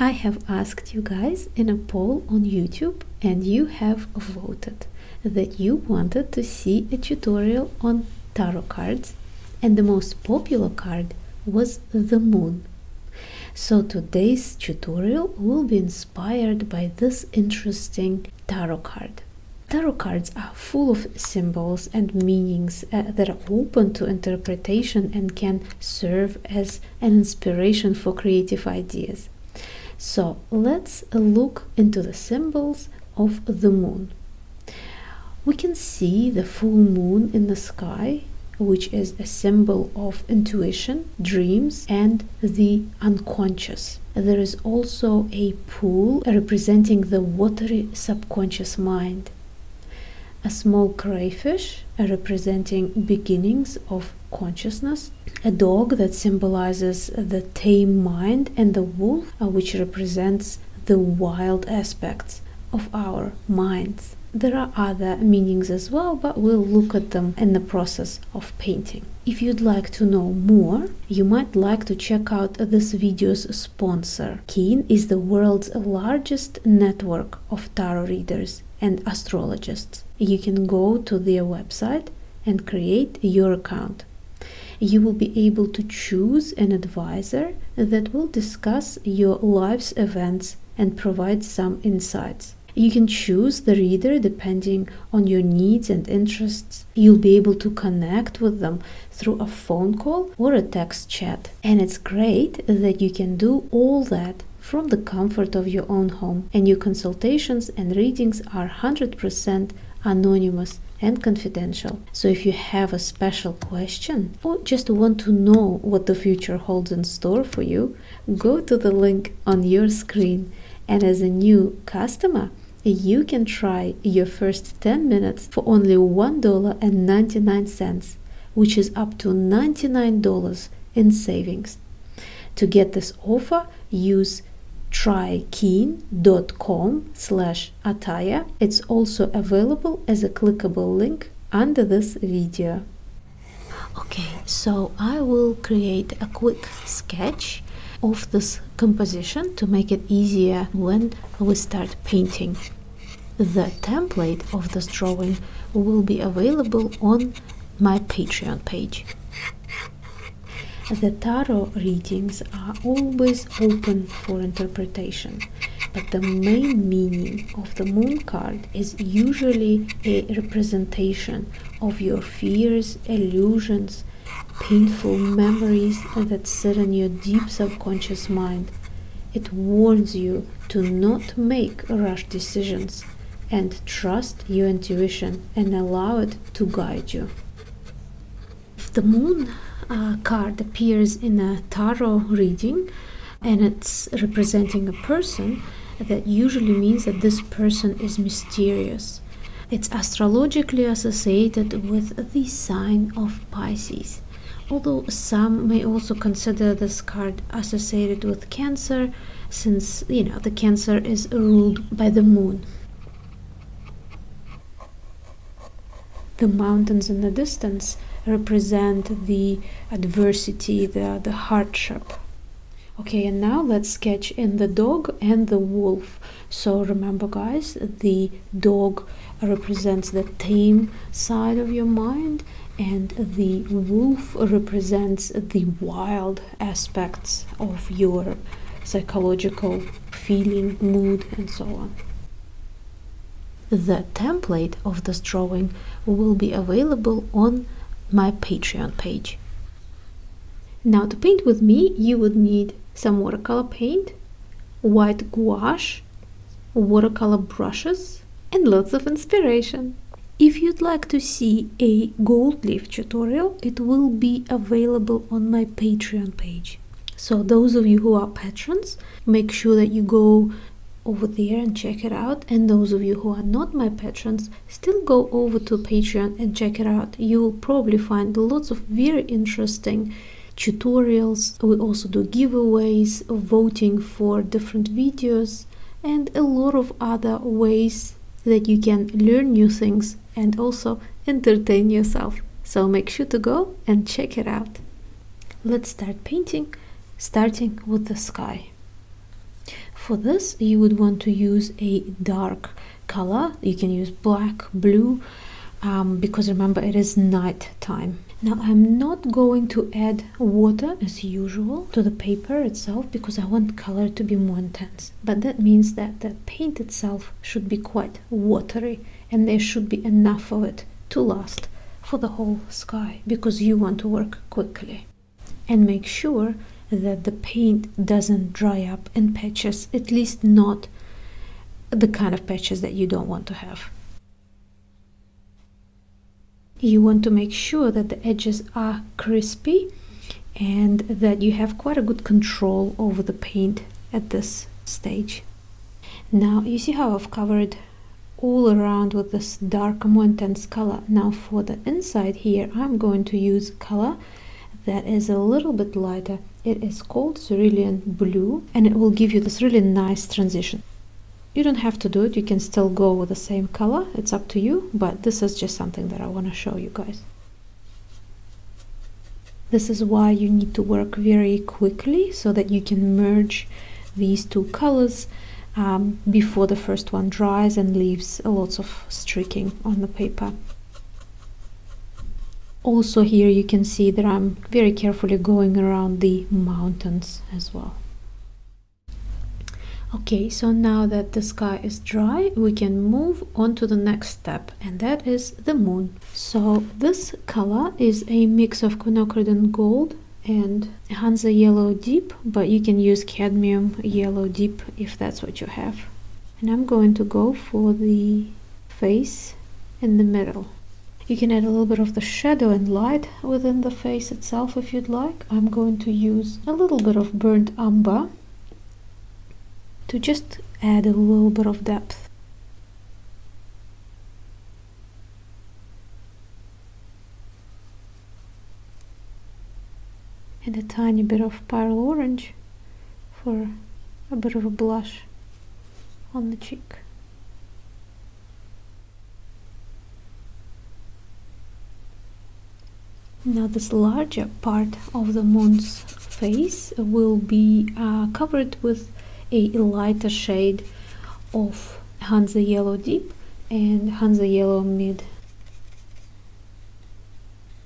I have asked you guys in a poll on YouTube and you have voted that you wanted to see a tutorial on tarot cards and the most popular card was the moon. So today's tutorial will be inspired by this interesting tarot card. Tarot cards are full of symbols and meanings uh, that are open to interpretation and can serve as sparks and inspiration for creative ideas. So let's look into the symbols of the moon. We can see the full moon in the sky, which is a symbol of intuition, dreams, and the unconscious. There is also a pool representing the watery subconscious mind. A small crayfish representing beginnings of consciousness, a dog that symbolizes the tame mind, and the wolf, uh, which represents the wild aspects of our minds. There are other meanings as well, but we'll look at them in the process of painting. If you'd like to know more, you might like to check out this video's sponsor. Keen is the world's largest network of tarot readers and astrologists. You can go to their website and create your account. You will be able to choose an advisor that will discuss your life's events and provide some insights. You can choose the reader depending on your needs and interests. You'll be able to connect with them through a phone call or a text chat. And it's great that you can do all that from the comfort of your own home, and your consultations and readings are 100% anonymous and confidential. So if you have a special question or just want to know what the future holds in store for you, go to the link on your screen. And as a new customer, you can try your first 10 minutes for only $1.99 which is up to $99 in savings. To get this offer, use trykeen.com slash attire. It's also available as a clickable link under this video. Okay, so I will create a quick sketch of this composition to make it easier when we start painting. The template of this drawing will be available on my Patreon page. The tarot readings are always open for interpretation, but the main meaning of the moon card is usually a representation of your fears, illusions, painful memories that sit in your deep subconscious mind it warns you to not make rash decisions and trust your intuition and allow it to guide you. If the moon uh, card appears in a tarot reading and it's representing a person, that usually means that this person is mysterious. It's astrologically associated with the sign of Pisces although some may also consider this card associated with cancer since you know the cancer is ruled by the moon the mountains in the distance represent the adversity the hardship okay and now let's sketch in the dog and the wolf so remember guys the dog represents the tame side of your mind and the wolf represents the wild aspects of your psychological feeling, mood, and so on. The template of this drawing will be available on my Patreon page. Now, to paint with me, you would need some watercolor paint, white gouache, watercolor brushes and lots of inspiration. If you'd like to see a gold leaf tutorial, it will be available on my Patreon page. So those of you who are patrons, make sure that you go over there and check it out. And those of you who are not my patrons, still go over to Patreon and check it out. You will probably find lots of very interesting tutorials. We also do giveaways, voting for different videos, and a lot of other ways that you can learn new things and also entertain yourself. So make sure to go and check it out. Let's start painting, starting with the sky. For this, you would want to use a dark color. You can use black, blue, um, because remember it is night time. Now I'm not going to add water as usual to the paper itself because I want color to be more intense. But that means that the paint itself should be quite watery and there should be enough of it to last for the whole sky because you want to work quickly. And make sure that the paint doesn't dry up in patches, at least not the kind of patches that you don't want to have. You want to make sure that the edges are crispy and that you have quite a good control over the paint at this stage. Now you see how I've covered all around with this dark more intense color. Now for the inside here I'm going to use color that is a little bit lighter it is called cerulean blue and it will give you this really nice transition. You don't have to do it, you can still go with the same color, it's up to you, but this is just something that I want to show you guys. This is why you need to work very quickly so that you can merge these two colors um, before the first one dries and leaves a lots of streaking on the paper also here you can see that I'm very carefully going around the mountains as well okay so now that the sky is dry we can move on to the next step and that is the moon so this color is a mix of quinacridone gold and Hansa yellow deep but you can use cadmium yellow deep if that's what you have and I'm going to go for the face in the middle. You can add a little bit of the shadow and light within the face itself if you'd like. I'm going to use a little bit of burnt umber to just add a little bit of depth. And a tiny bit of pale orange for a bit of a blush on the cheek. Now this larger part of the moon's face will be uh, covered with a lighter shade of Hansa Yellow Deep and Hansa Yellow Mid.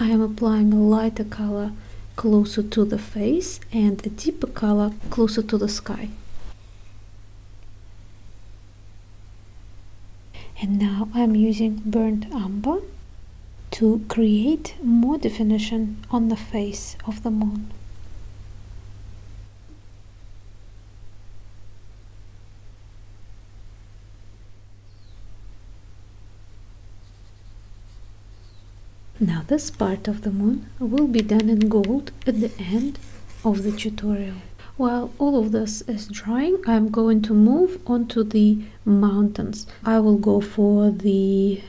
I am applying a lighter color closer to the face and a deeper color closer to the sky. And now I'm using burnt umber to create more definition on the face of the moon. Now this part of the moon will be done in gold at the end of the tutorial. While all of this is drying, I'm going to move on to the mountains. I will go for the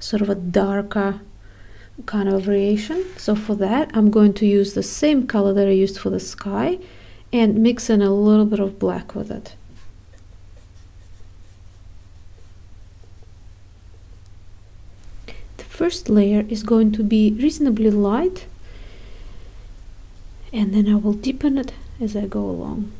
sort of a darker kind of variation. So for that, I'm going to use the same color that I used for the sky and mix in a little bit of black with it. The first layer is going to be reasonably light and then I will deepen it as I go along.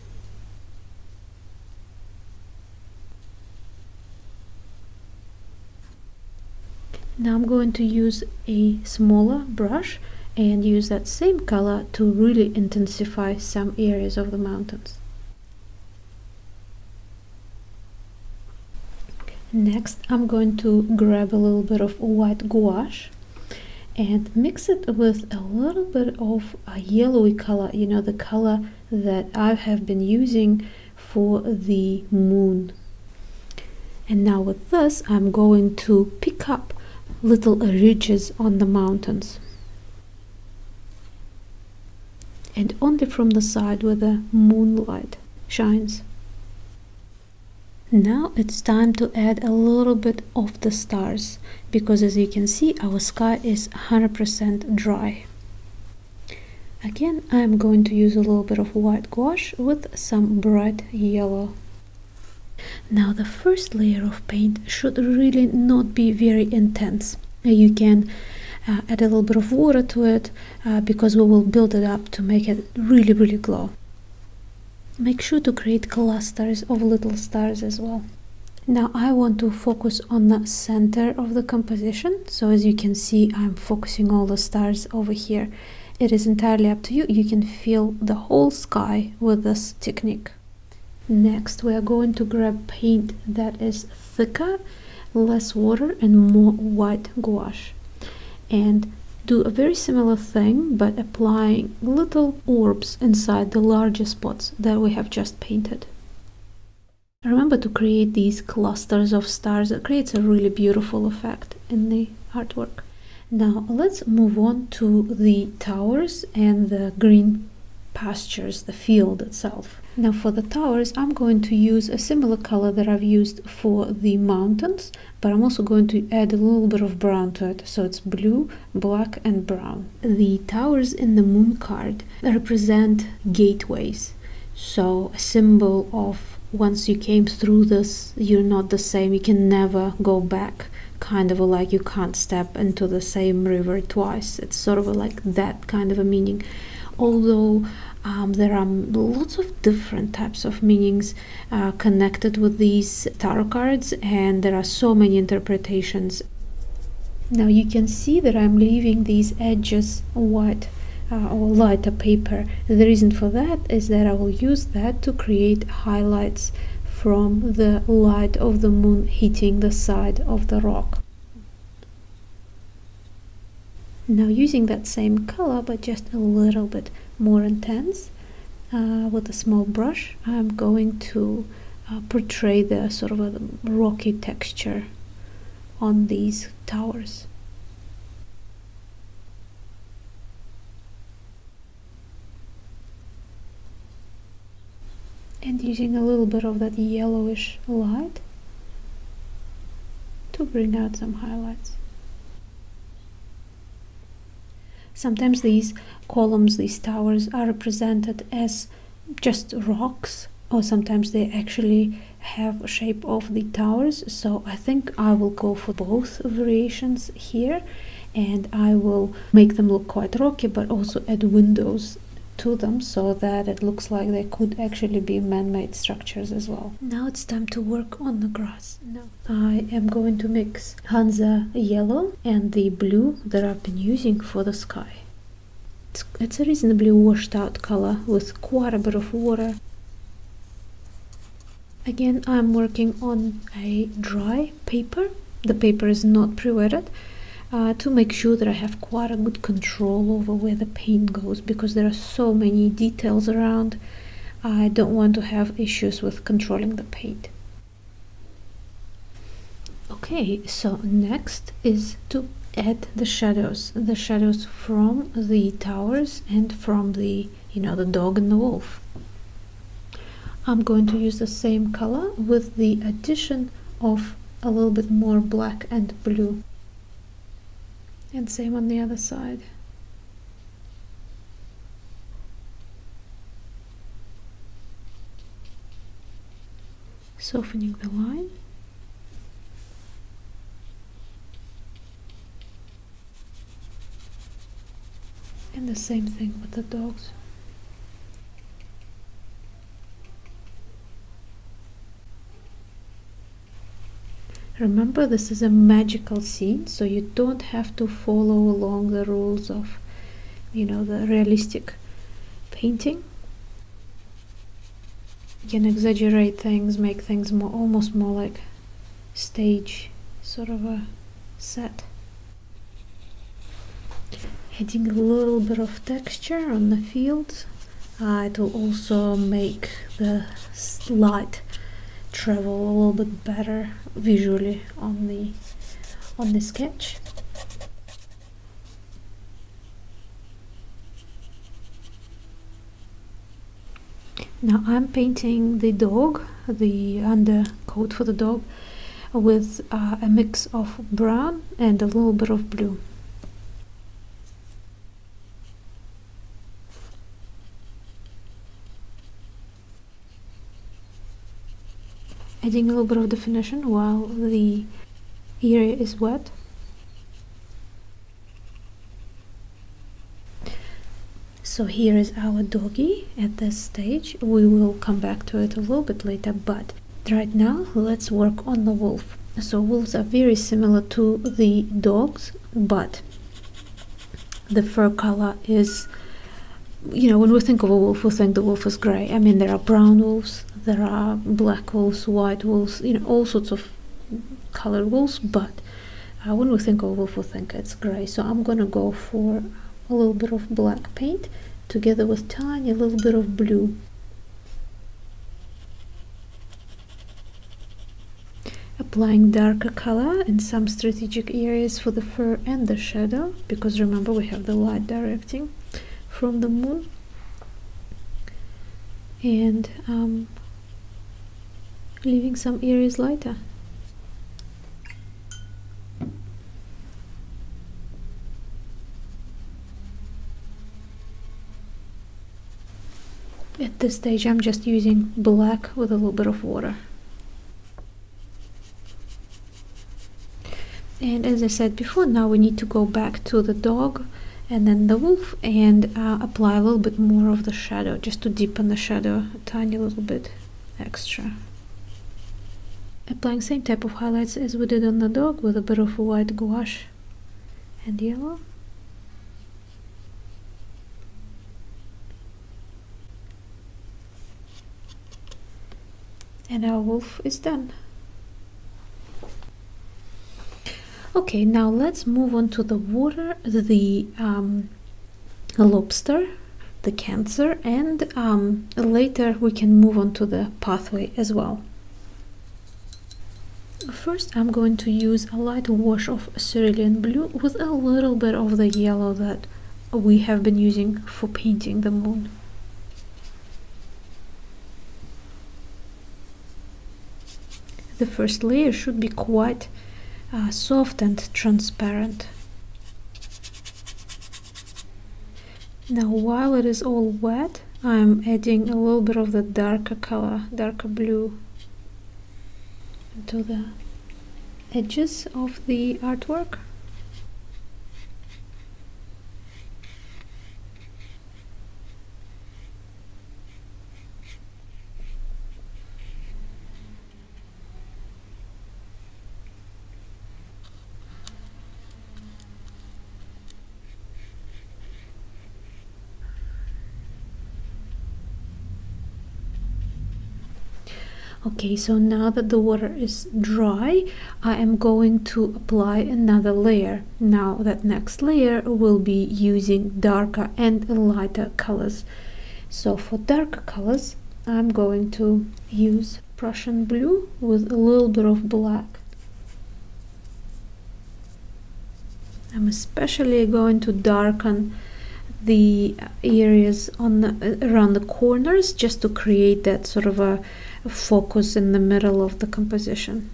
Now I'm going to use a smaller brush and use that same color to really intensify some areas of the mountains. Next, I'm going to grab a little bit of white gouache and mix it with a little bit of a yellowy color, you know, the color that I have been using for the moon. And now with this, I'm going to pick up little ridges on the mountains and only from the side where the moonlight shines. Now it's time to add a little bit of the stars because as you can see our sky is 100% dry. Again I'm going to use a little bit of white gouache with some bright yellow. Now the first layer of paint should really not be very intense. Uh, you can uh, add a little bit of water to it uh, because we will build it up to make it really really glow. Make sure to create clusters of little stars as well. Now I want to focus on the center of the composition. So as you can see, I'm focusing all the stars over here. It is entirely up to you. You can fill the whole sky with this technique. Next, we are going to grab paint that is thicker, less water and more white gouache. And do a very similar thing, but applying little orbs inside the larger spots that we have just painted. Remember to create these clusters of stars. It creates a really beautiful effect in the artwork. Now let's move on to the towers and the green pastures, the field itself. Now for the towers, I'm going to use a similar color that I've used for the mountains, but I'm also going to add a little bit of brown to it. So it's blue, black and brown. The towers in the moon card represent gateways. So a symbol of once you came through this, you're not the same. You can never go back. Kind of like you can't step into the same river twice. It's sort of like that kind of a meaning. Although um, there are lots of different types of meanings uh, connected with these tarot cards, and there are so many interpretations. Now you can see that I'm leaving these edges white uh, or lighter paper. The reason for that is that I will use that to create highlights from the light of the moon hitting the side of the rock. Now using that same color but just a little bit more intense uh, with a small brush I'm going to uh, portray the sort of a rocky texture on these towers and using a little bit of that yellowish light to bring out some highlights. Sometimes these columns, these towers are represented as just rocks or sometimes they actually have shape of the towers so I think I will go for both variations here and I will make them look quite rocky but also add windows to them so that it looks like they could actually be man-made structures as well. Now it's time to work on the grass. No. I am going to mix Hansa yellow and the blue that I've been using for the sky. It's, it's a reasonably washed out color with quite a bit of water. Again, I'm working on a dry paper the paper is not pre-wetted uh, to make sure that I have quite a good control over where the paint goes because there are so many details around I don't want to have issues with controlling the paint okay so next is to add the shadows the shadows from the towers and from the you know the dog and the wolf I'm going to use the same color with the addition of a little bit more black and blue and same on the other side softening the line and the same thing with the dogs. Remember, this is a magical scene, so you don't have to follow along the rules of, you know, the realistic painting. You can exaggerate things, make things more almost more like stage sort of a set adding a little bit of texture on the fields, uh, it will also make the light travel a little bit better visually on the on the sketch now I'm painting the dog the undercoat for the dog with uh, a mix of brown and a little bit of blue. Adding a little bit of definition while the area is wet so here is our doggy at this stage we will come back to it a little bit later but right now let's work on the wolf so wolves are very similar to the dogs but the fur color is you know when we think of a wolf we think the wolf is gray i mean there are brown wolves there are black wolves white wolves you know all sorts of colored wolves but uh, when we think of wolf we think it's gray so I'm gonna go for a little bit of black paint together with tiny little bit of blue applying darker color in some strategic areas for the fur and the shadow because remember we have the light directing from the moon and um, leaving some areas lighter at this stage I'm just using black with a little bit of water. And as I said before, now we need to go back to the dog and then the wolf and uh, apply a little bit more of the shadow just to deepen the shadow a tiny little bit extra. Applying same type of highlights as we did on the dog with a bit of white gouache and yellow. And our wolf is done. Okay, now let's move on to the water, the um, a lobster, the cancer, and um, later we can move on to the pathway as well. First, I'm going to use a light wash of cerulean blue with a little bit of the yellow that we have been using for painting the moon. The first layer should be quite uh, soft and transparent. Now while it is all wet, I'm adding a little bit of the darker color, darker blue to the edges of the artwork okay so now that the water is dry I am going to apply another layer now that next layer will be using darker and lighter colors so for darker colors I'm going to use Prussian blue with a little bit of black I'm especially going to darken the areas on around the corners just to create that sort of a focus in the middle of the composition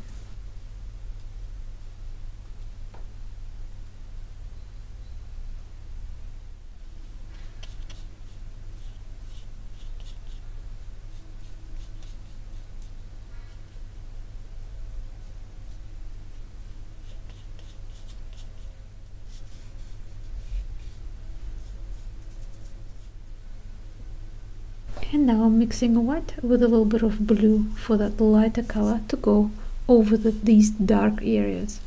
and now I'm mixing white with a little bit of blue for that lighter color to go over these dark areas.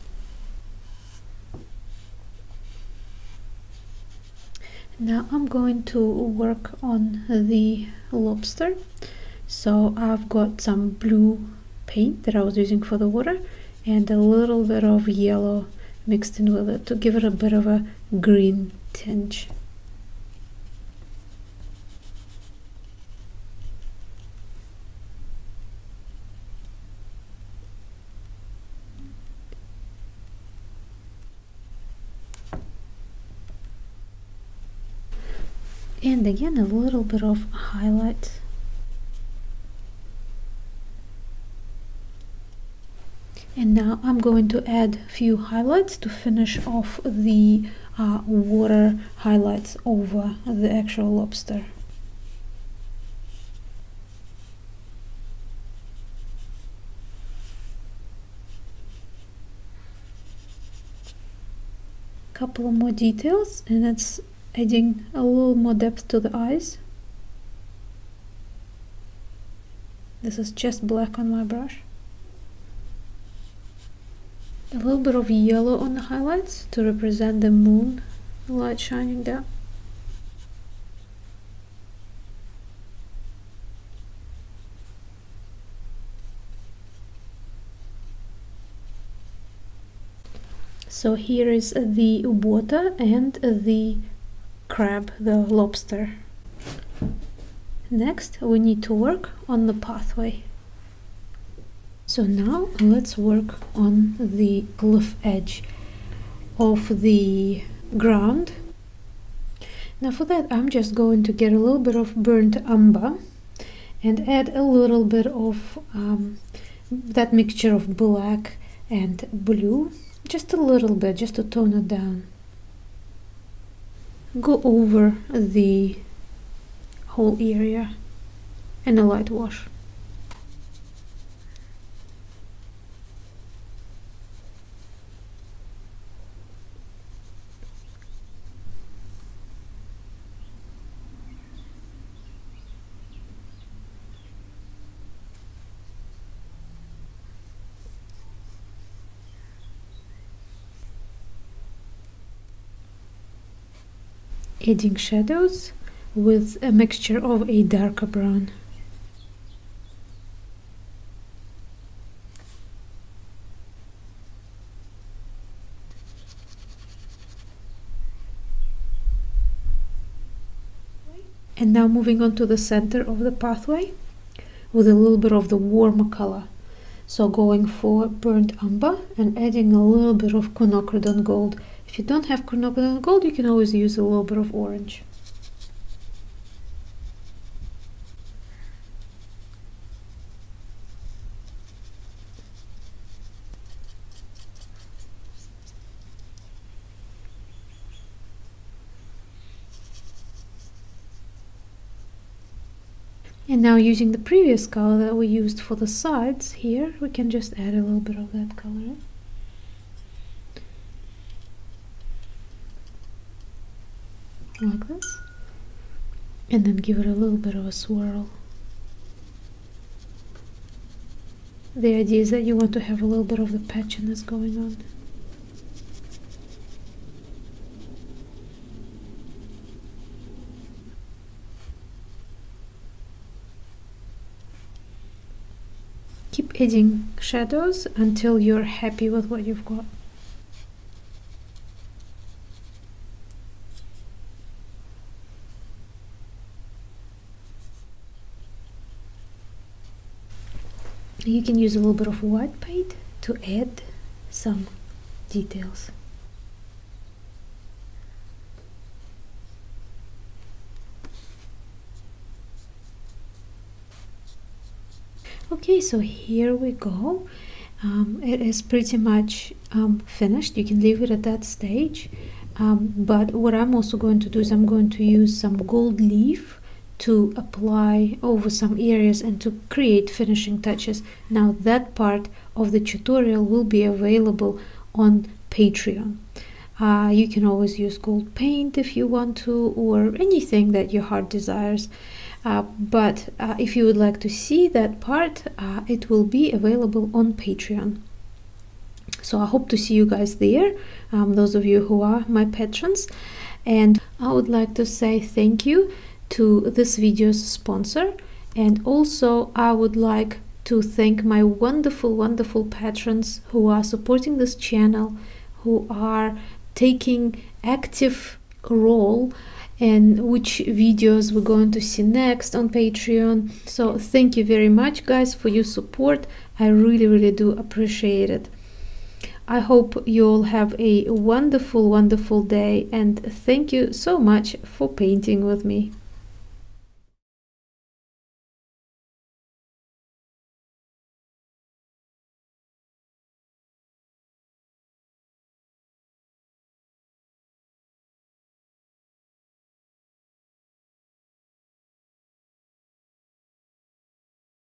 Now I'm going to work on the lobster. So I've got some blue paint that I was using for the water and a little bit of yellow mixed in with it to give it a bit of a green tinge and again a little bit of highlight and now I'm going to add few highlights to finish off the uh, water highlights over the actual lobster. couple more details and that's adding a little more depth to the eyes this is just black on my brush a little bit of yellow on the highlights to represent the moon light shining there. so here is the water and the crab the lobster next we need to work on the pathway so now let's work on the cliff edge of the ground. Now for that I'm just going to get a little bit of burnt umber and add a little bit of um, that mixture of black and blue just a little bit just to tone it down go over the whole area in a light wash adding shadows with a mixture of a darker brown. And now moving on to the center of the pathway with a little bit of the warmer color. So going for burnt umber and adding a little bit of quinacridone gold. If you don't have quinacridone gold, you can always use a little bit of orange. And now using the previous color that we used for the sides here, we can just add a little bit of that color. Like this. And then give it a little bit of a swirl. The idea is that you want to have a little bit of the patchiness going on. Keep adding shadows until you're happy with what you've got. you can use a little bit of white paint to add some details. okay so here we go um, it is pretty much um, finished you can leave it at that stage um, but what I'm also going to do is I'm going to use some gold leaf to apply over some areas and to create finishing touches. Now that part of the tutorial will be available on Patreon. Uh, you can always use gold paint if you want to or anything that your heart desires. Uh, but uh, if you would like to see that part, it will be available on Patreon. So I hope to see you guys there, um, those of you who are my patrons. And I would like to say thank you to this video's sponsor and also I would like to thank my wonderful wonderful patrons who are supporting this channel who are taking active role and which videos we're going to see next on Patreon. So thank you very much guys for your support. I really really do appreciate it. I hope you all have a wonderful, wonderful day and thank you so much for painting with me.